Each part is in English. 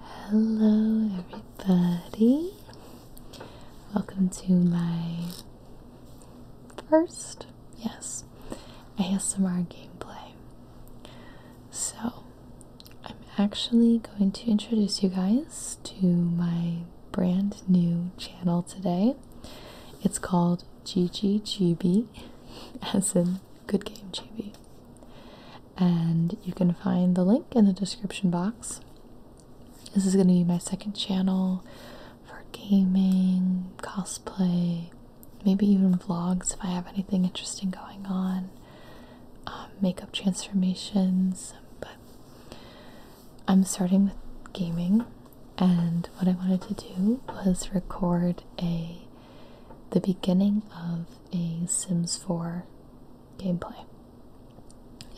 Hello, everybody. Welcome to my first, yes, ASMR gameplay. So, I'm actually going to introduce you guys to my brand new channel today. It's called GGGB, as in Good Game GB and you can find the link in the description box. This is going to be my second channel for gaming, cosplay, maybe even vlogs if I have anything interesting going on, um, makeup transformations. But I'm starting with gaming, and what I wanted to do was record a the beginning of a Sims 4 gameplay.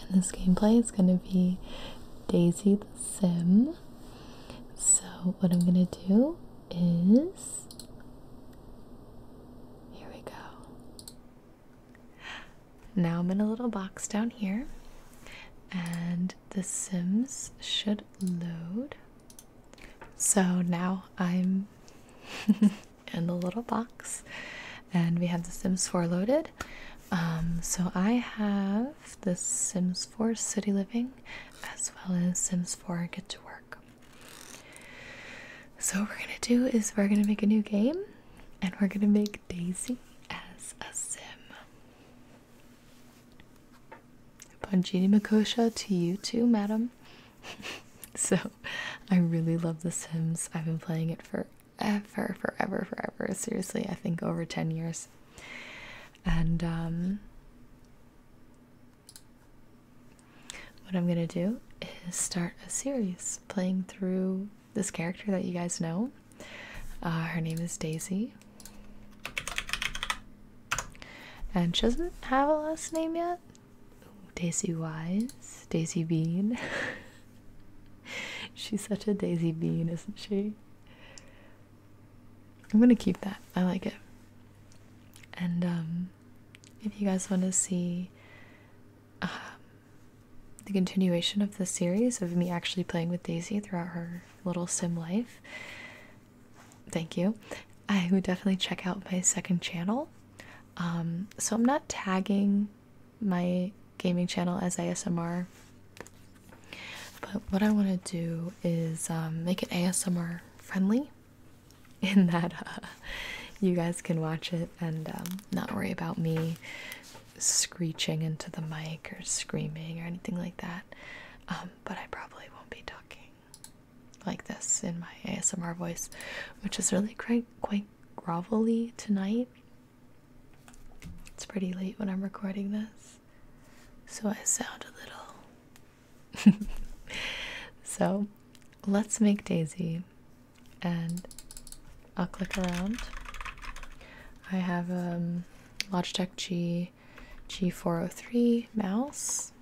And this gameplay is going to be Daisy the Sim. So, what I'm going to do is. Here we go. Now I'm in a little box down here, and The Sims should load. So now I'm in the little box, and we have The Sims 4 loaded. Um, so I have the Sims 4 City Living as well as Sims 4 Get to Work. So, what we're gonna do is we're gonna make a new game and we're gonna make Daisy as a Sim. Panjini Makosha to you too, madam. so, I really love The Sims. I've been playing it forever, forever, forever. Seriously, I think over 10 years. And um, what I'm going to do is start a series playing through this character that you guys know. Uh, her name is Daisy. And she doesn't have a last name yet, Daisy Wise, Daisy Bean. She's such a Daisy Bean, isn't she? I'm gonna keep that. I like it. And um, if you guys want to see uh, the continuation of the series of me actually playing with Daisy throughout her little sim life, thank you. I would definitely check out my second channel. Um, so I'm not tagging my gaming channel as ASMR, but what I want to do is um, make it ASMR friendly in that uh, you guys can watch it and um, not worry about me screeching into the mic or screaming or anything like that. but I probably won't be talking like this in my ASMR voice, which is really quite quite grovelly tonight. It's pretty late when I'm recording this, so I sound a little. so, let's make Daisy, and I'll click around. I have a um, Logitech G G403 mouse.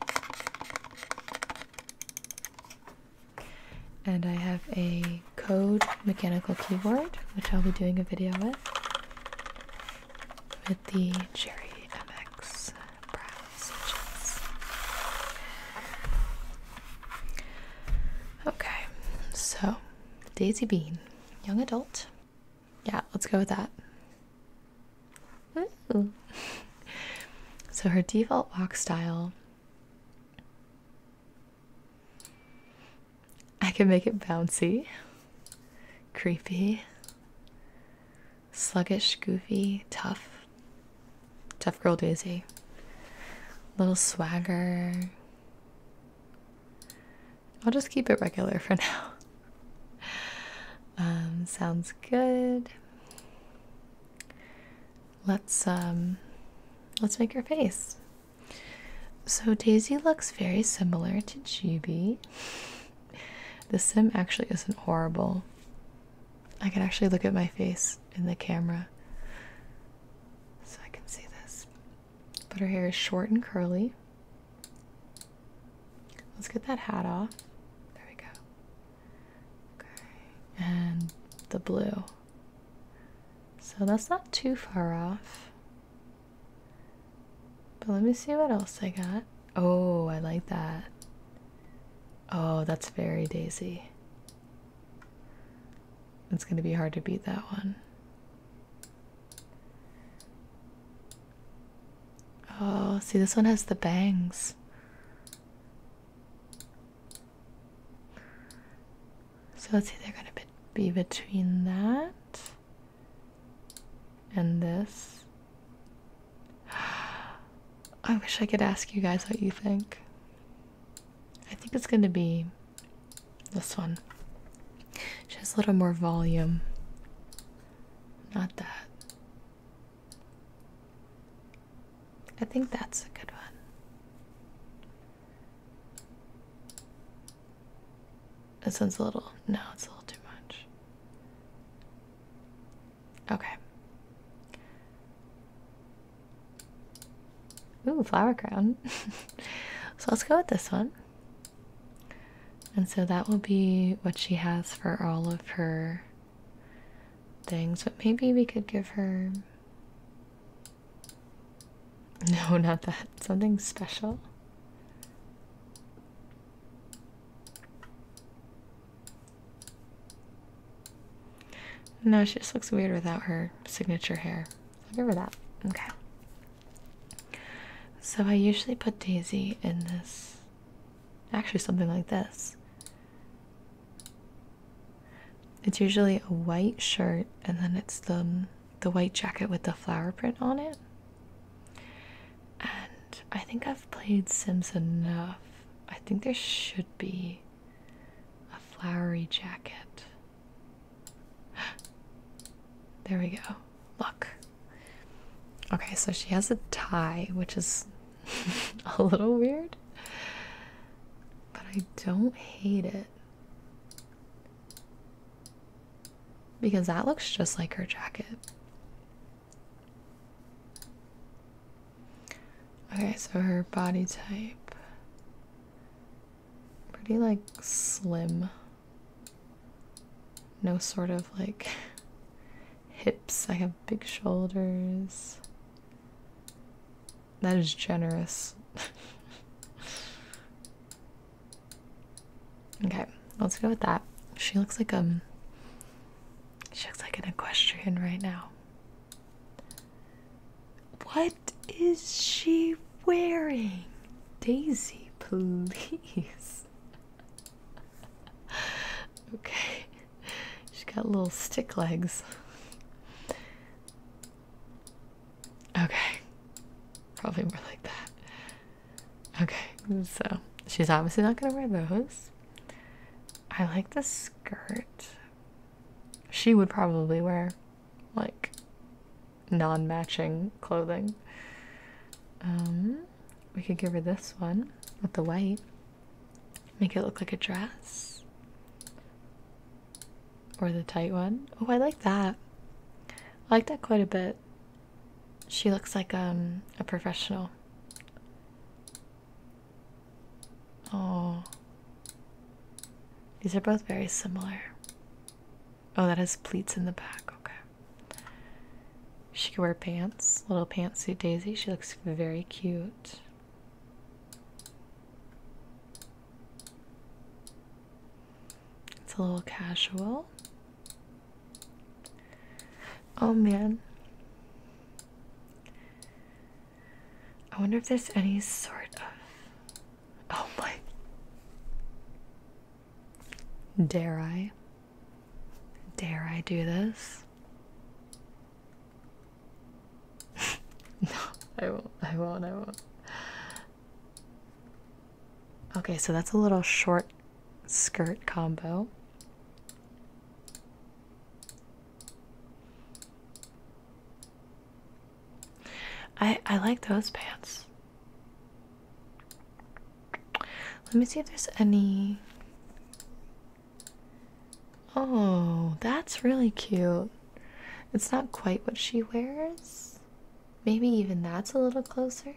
And I have a Code mechanical keyboard, which I'll be doing a video with, with the Cherry MX brown Okay, so Daisy Bean, young adult. Yeah, let's go with that. so her default walk style. I can make it bouncy, creepy, sluggish, goofy, tough. Tough girl Daisy. Little swagger. I'll just keep it regular for now. Um, sounds good let's um, let's make her face. So Daisy looks very similar to Chibi. The sim actually isn't horrible. I can actually look at my face in the camera so I can see this. But her hair is short and curly. Let's get that hat off. There we go and the blue. So that's not too far off. But let me see what else I got. Oh, I like that. Oh, that's very daisy. It's going to be hard to beat that one. Oh, see, this one has the bangs. So let's see, they're going to be between that and this. I wish I could ask you guys what you think. I think it's going to be this one. She has a little more volume. Not that. I think that's a good one. This one's a little, no, it's a little too much. Okay. Ooh, flower crown. so let's go with this one. And so that will be what she has for all of her things, but maybe we could give her. No, not that. Something special. No, she just looks weird without her signature hair. I'll give her that. Okay. So I usually put Daisy in this Actually, something like this. It's usually a white shirt, and then it's the the white jacket with the flower print on it. And I think I've played Sims enough. I think there should be a flowery jacket. There we go. Look. Okay, so she has a tie, which is a little weird, but I don't hate it because that looks just like her jacket. Okay, so her body type pretty like slim. No sort of like hips. I have big shoulders. That is generous. okay, let's go with that. She looks like a. Um, she looks like an equestrian right now. What is she wearing? Daisy, please. okay, she's got little stick legs. Okay, probably more like that. Okay, so she's obviously not gonna wear those. I like the skirt. She would probably wear like non matching clothing. Um, we could give her this one with the white. Make it look like a dress. Or the tight one. Oh, I like that. I like that quite a bit. She looks like um a professional. Oh. These are both very similar. Oh, that has pleats in the back. Okay. She could wear pants, little pantsuit Daisy. She looks very cute. It's a little casual. Oh man. I wonder if there's any sort of. Oh my. Dare I? Dare I do this? no, I won't. I won't. I won't. Okay, so that's a little short skirt combo. I I like those pants. Let me see if there's any Oh, that's really cute. It's not quite what she wears. Maybe even that's a little closer.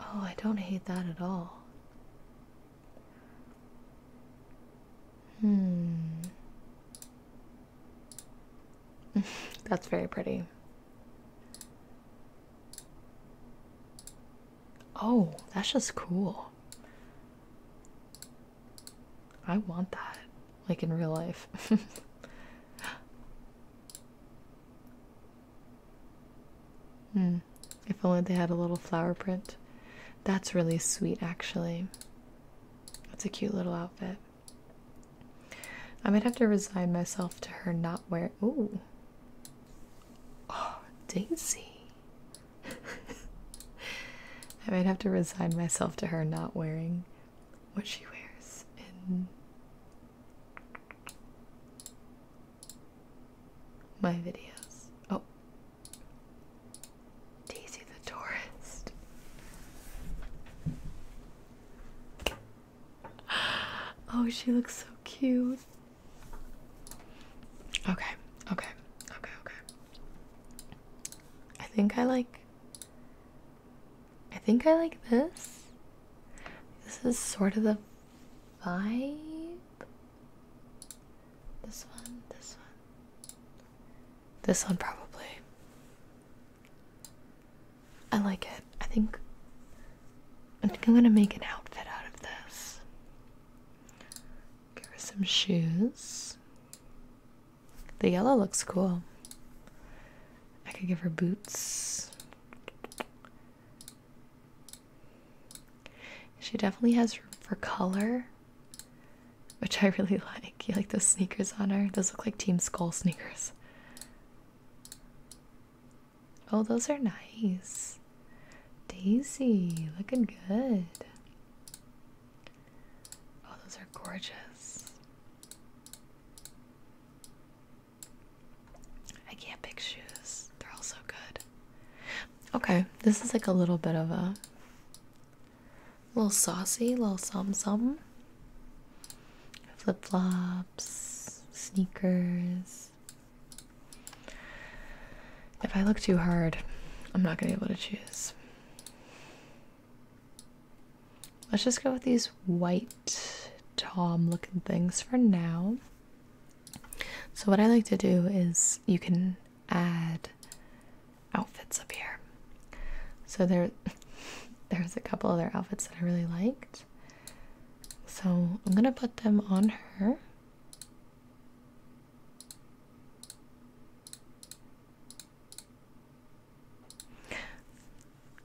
Oh, I don't hate that at all. Hmm. that's very pretty. Oh, that's just cool. I want that, like in real life. Hmm, if only they had a little flower print. That's really sweet, actually. That's a cute little outfit. I might have to resign myself to her not wearing. Ooh, Oh, Daisy. I might have to resign myself to her not wearing what she wears in my videos. Oh. Daisy the tourist. Oh, she looks so cute. Okay, okay, okay, okay. I think I like. I think I like this. This is sort of the vibe. This one, this one. This one, probably. I like it. I think I think I'm gonna make an outfit out of this. Give her some shoes. The yellow looks cool. I could give her boots. She definitely has room for color, which I really like. You like those sneakers on her? Those look like Team Skull sneakers. Oh, those are nice. Daisy, looking good. Oh, those are gorgeous. I can't pick shoes. They're all so good. Okay, this is like a little bit of a little saucy, little some some. Flip flops, sneakers. If I look too hard, I'm not going to be able to choose. Let's just go with these white tom looking things for now. So, what I like to do is you can add outfits up here. So, there, there's a couple other outfits that I really liked. So, I'm going to put them on her.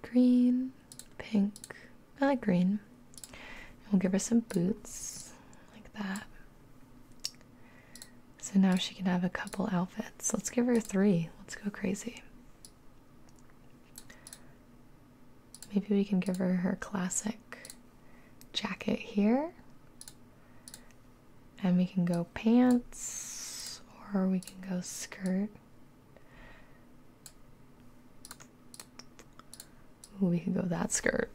Green, pink, I like green. And we'll give her some boots like that. So now she can have a couple outfits. Let's give her three. Let's go crazy. Maybe we can give her her classic jacket here. And we can go pants or we can go skirt. we can go that skirt.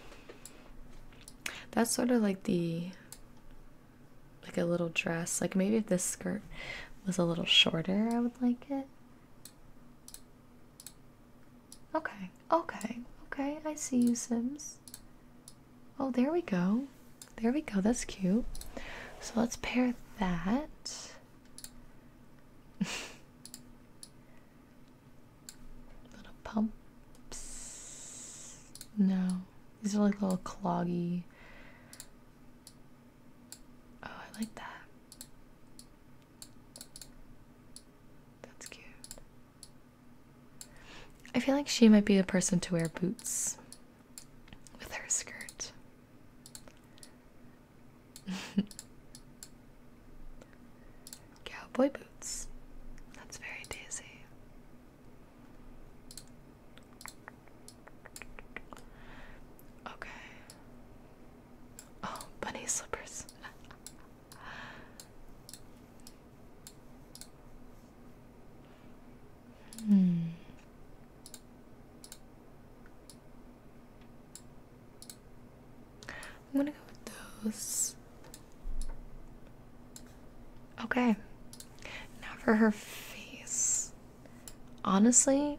That's sort of like the like a little dress. Like maybe if this skirt was a little shorter, I would like it. Okay, okay, okay. I see you, Sims. Oh, there we go. There we go. That's cute. So let's pair that. little pumps. No, these are like little cloggy. Oh, I like that. That's cute. I feel like she might be the person to wear boots with her skirt. Cowboy boots. That's very daisy. Okay. Oh, bunny slippers. hmm. I'm gonna go with those. Okay. Now for her face. Honestly,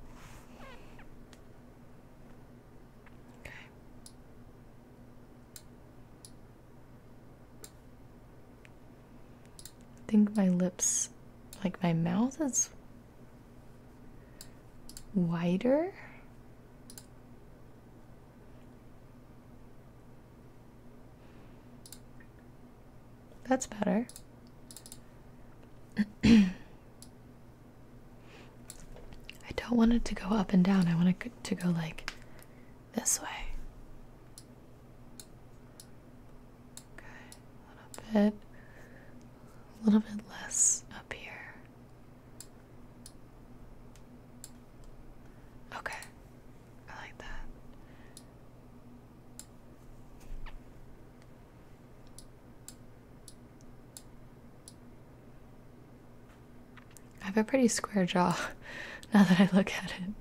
Okay. I think my lips, like my mouth is wider. That's better. I don't want it to go up and down. I want it to go like this way. Okay, a little bit, a little bit less up here. Okay, I like that. I have a pretty square jaw now that I look at it.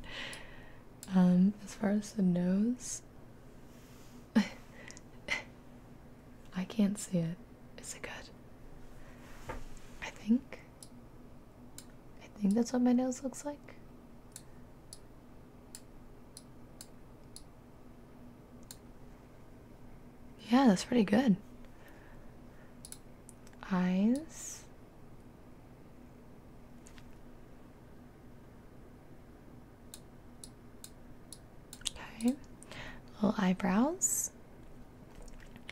Um, as far as the nose, I can't see it. Is it good? I think. I think that's what my nose looks like. Yeah, that's pretty good. Eyes. Okay. Little eyebrows.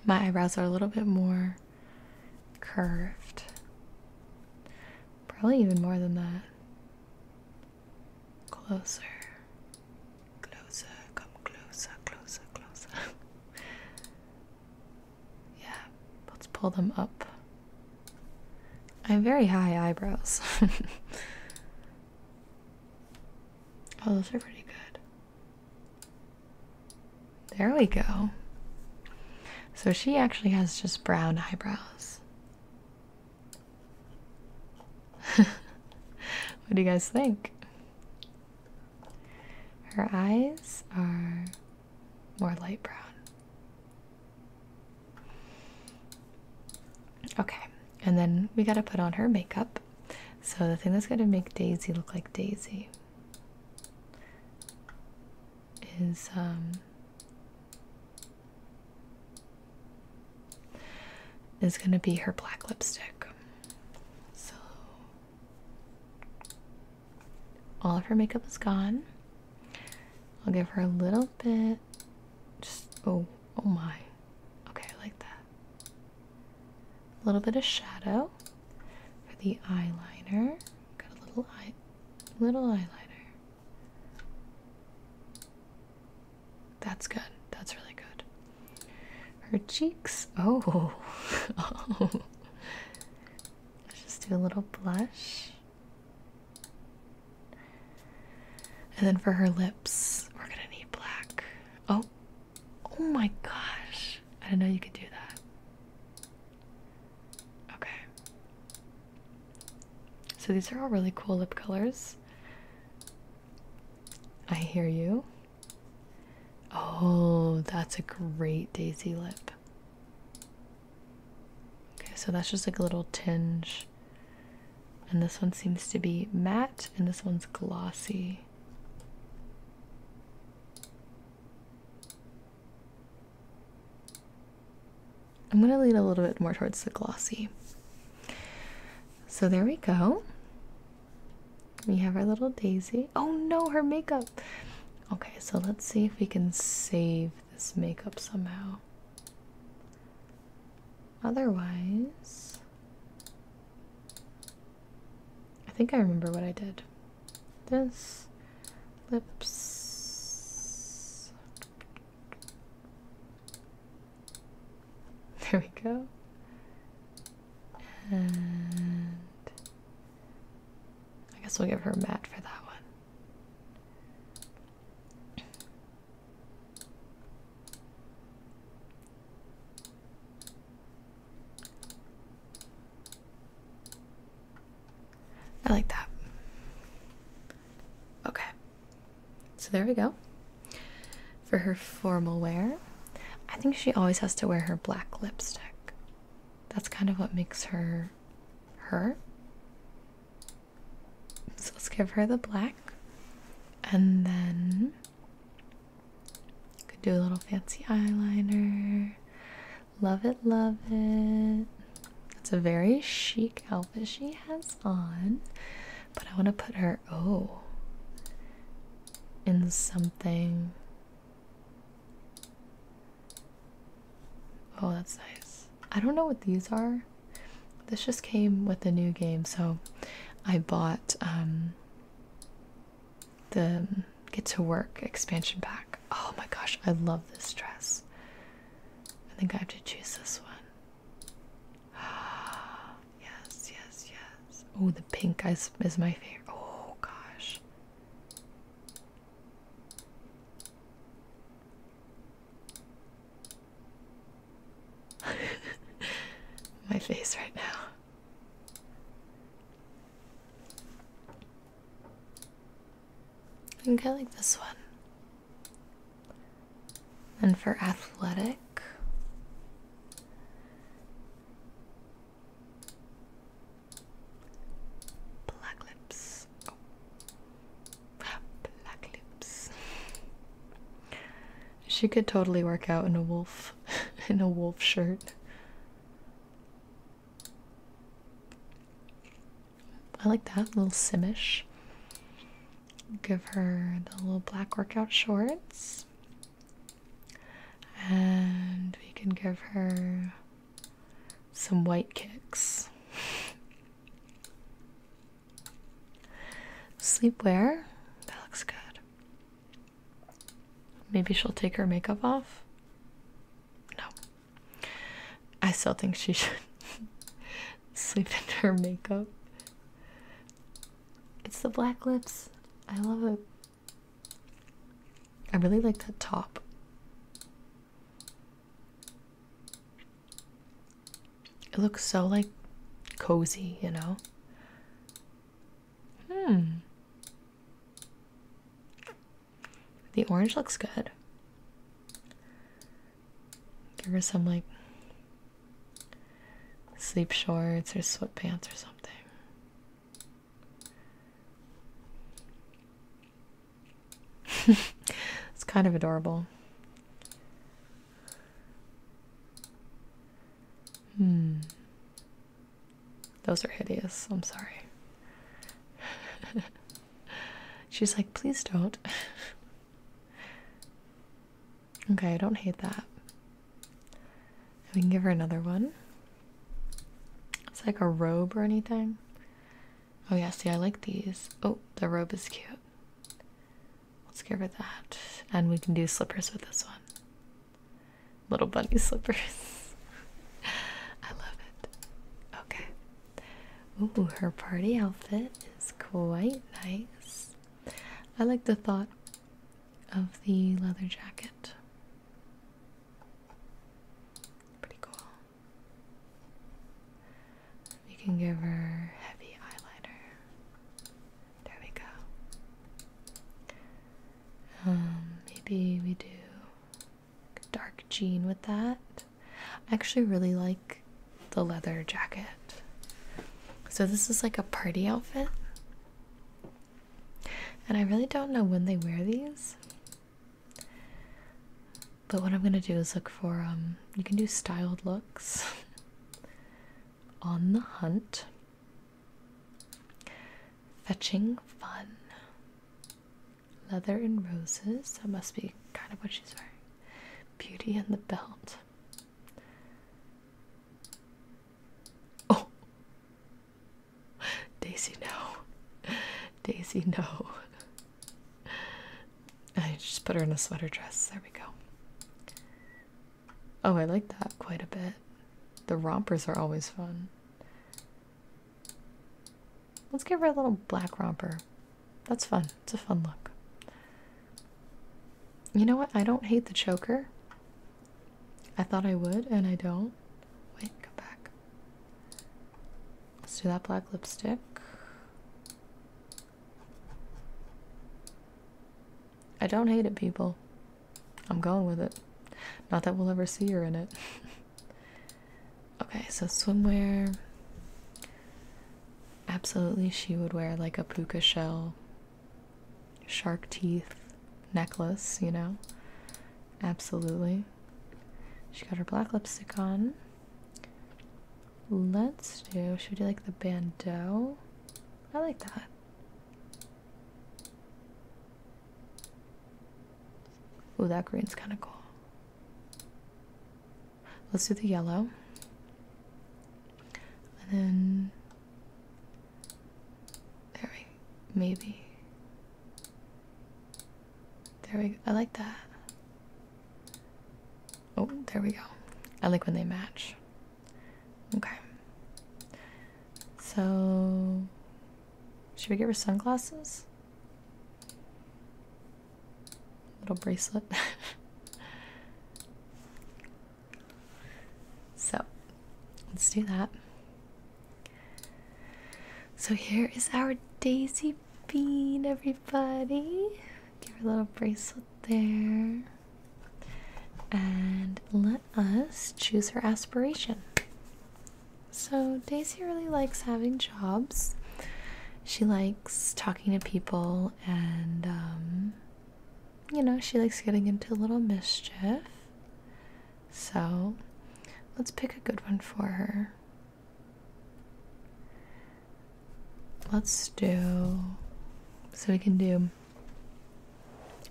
My eyebrows are a little bit more curved. Probably even more than that. Closer. Closer, come closer, closer, closer. yeah, let's pull them up. I have very high eyebrows. oh, those are pretty good. There we go. So she actually has just brown eyebrows. what do you guys think? Her eyes are more light brown. Okay, and then we gotta put on her makeup. So, the thing that's gonna make Daisy look like Daisy is um, is going to be her black lipstick. So all of her makeup is gone. I'll give her a little bit. Just oh, oh my. Okay, I like that. A little bit of shadow for the eyeliner. Got a little eye, little eyeliner. That's good. That's really good. Her cheeks. Oh. oh. Let's just do a little blush. And then for her lips, we're going to need black. Oh. Oh my gosh. I didn't know you could do that. Okay. So these are all really cool lip colors. I hear you. Oh, that's a great daisy lip. Okay, so that's just like a little tinge. And this one seems to be matte, and this one's glossy. I'm going to lean a little bit more towards the glossy. So there we go. We have our little daisy. Oh no, her makeup. Okay, so let's see if we can save this makeup somehow. Otherwise, I think I remember what I did. This lips. There we go. And I guess we'll give her a mat for that one. I like that. Okay. So there we go. For her formal wear, I think she always has to wear her black lipstick. That's kind of what makes her her. So let's give her the black and then you could do a little fancy eyeliner. Love it, love it. That's a very chic outfit she has on, but I want to put her oh in something oh that's nice i don't know what these are this just came with the new game so i bought um, the get to work expansion pack oh my gosh i love this dress i think i have to choose this one yes, yes, yes. Oh, the pink is, is my favorite. Oh, gosh. my face right now. I think I like this one. And for athletic, black lips. Oh, black lips. She could totally work out in a wolf, in a wolf shirt. I like that little simish give her the little black workout shorts. And we can give her some white kicks. Sleepwear. That looks good. Maybe she'll take her makeup off. No. I still think she should sleep in her makeup. It's the black lips. I love it. I really like the top. It looks so like cozy, you know? Hmm. The orange looks good. There were some like sleep shorts or sweatpants or something. it's kind of adorable. Hmm. Those are hideous. I'm sorry. She's like, please don't. Okay, I don't hate that. We can give her another one. It's like a robe or anything. Oh yeah, see I like these. Oh, the robe is cute. Let's give her that. And we can do slippers with this one. Little bunny slippers. I love it. Okay. Ooh, her party outfit is quite nice. I like the thought of the leather jacket. Pretty cool. You can give her heavy eyeliner. There we go. Um, maybe we do dark jean with that. I actually really like the leather jacket. So this is like a party outfit. And I really don't know when they wear these. But what I'm going to do is look for um, you can do styled looks on the hunt. Fetching fun. Leather and roses. That must be kind of what she's wearing. Beauty and the belt. Oh, Daisy, no, Daisy, no. I just put her in a sweater dress. There we go. Oh, I like that quite a bit. The rompers are always fun. Let's give her a little black romper. That's fun. It's a fun look. You know what? I don't hate the choker. I thought I would, and I don't. Wait, come back. Let's do that black lipstick. I don't hate it, people. I'm going with it. Not that we'll ever see her in it. okay, so swimwear absolutely she would wear like a puka shell shark teeth necklace, you know. Absolutely. She got her black lipstick on. Let's do, should we do like the bandeau? I like that. Oh, that green's kind of cool. Let's do the yellow. And then there we maybe. There we go. I like that. Oh, there we go. I like when they match. Okay. So should we get her sunglasses? little bracelet. so let's do that. So here is our daisy bean, everybody. Give her a little bracelet there. And let us choose her aspiration. So, Daisy really likes having jobs. She likes talking to people and um, you know, she likes getting into a little mischief. So let's pick a good one for her. Let's do. So we can do.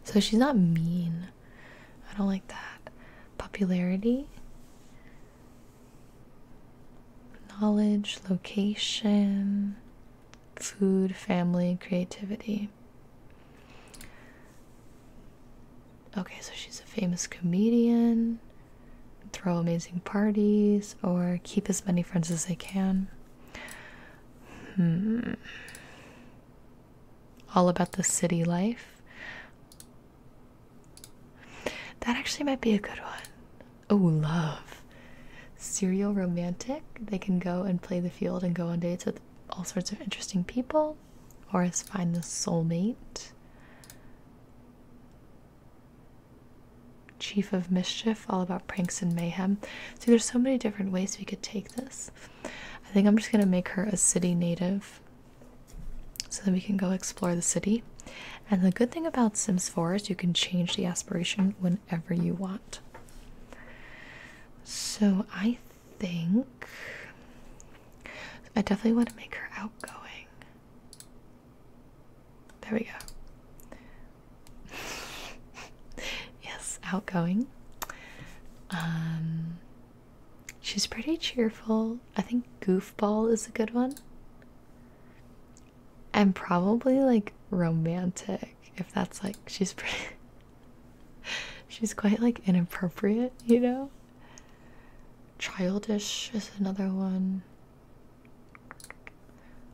So she's not mean. I don't like that. Popularity, knowledge, location, food, family, creativity. Okay, so she's a famous comedian, throw amazing parties, or keep as many friends as they can. Hmm. All about the city life. That actually might be a good one. Oh, love. Serial romantic. They can go and play the field and go on dates with all sorts of interesting people, or as find the soulmate. Chief of Mischief, all about pranks and mayhem. See, there's so many different ways we could take this. I think I'm just going to make her a city native so that we can go explore the city. And the good thing about Sims 4 is you can change the aspiration when whenever you want. So I think I definitely want to make her outgoing. There we go. yes, outgoing. Um she's pretty cheerful. I think goofball is a good one and probably like romantic if that's like she's pretty she's quite like inappropriate you know childish is another one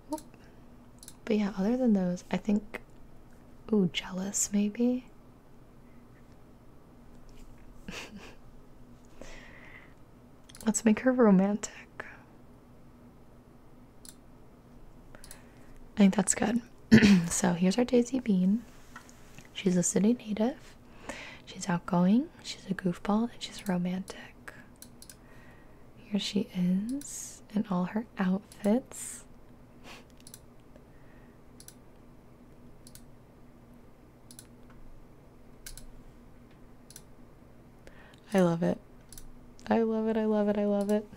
but yeah other than those i think ooh jealous maybe let's make her romantic I think that's good. so here's our Daisy Bean. She's a city native. She's outgoing. She's a goofball and she's romantic. Here she is in all her outfits. I love it. I love it. I love it. I love it.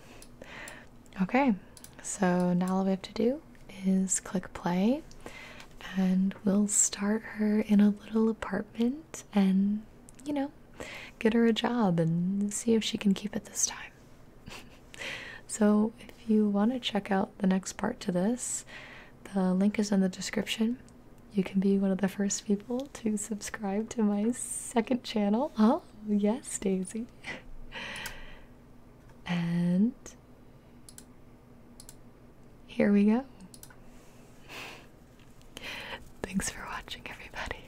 Okay, so now all we have to do is click play and we'll start her in a little apartment and, you know, get her a job and see if she can keep it this time. so, if you want to check out the next part to this, the link is in the description you can be one of the first people to subscribe to my second channel. Oh, yes, Daisy. and here we go. Thanks for watching, everybody.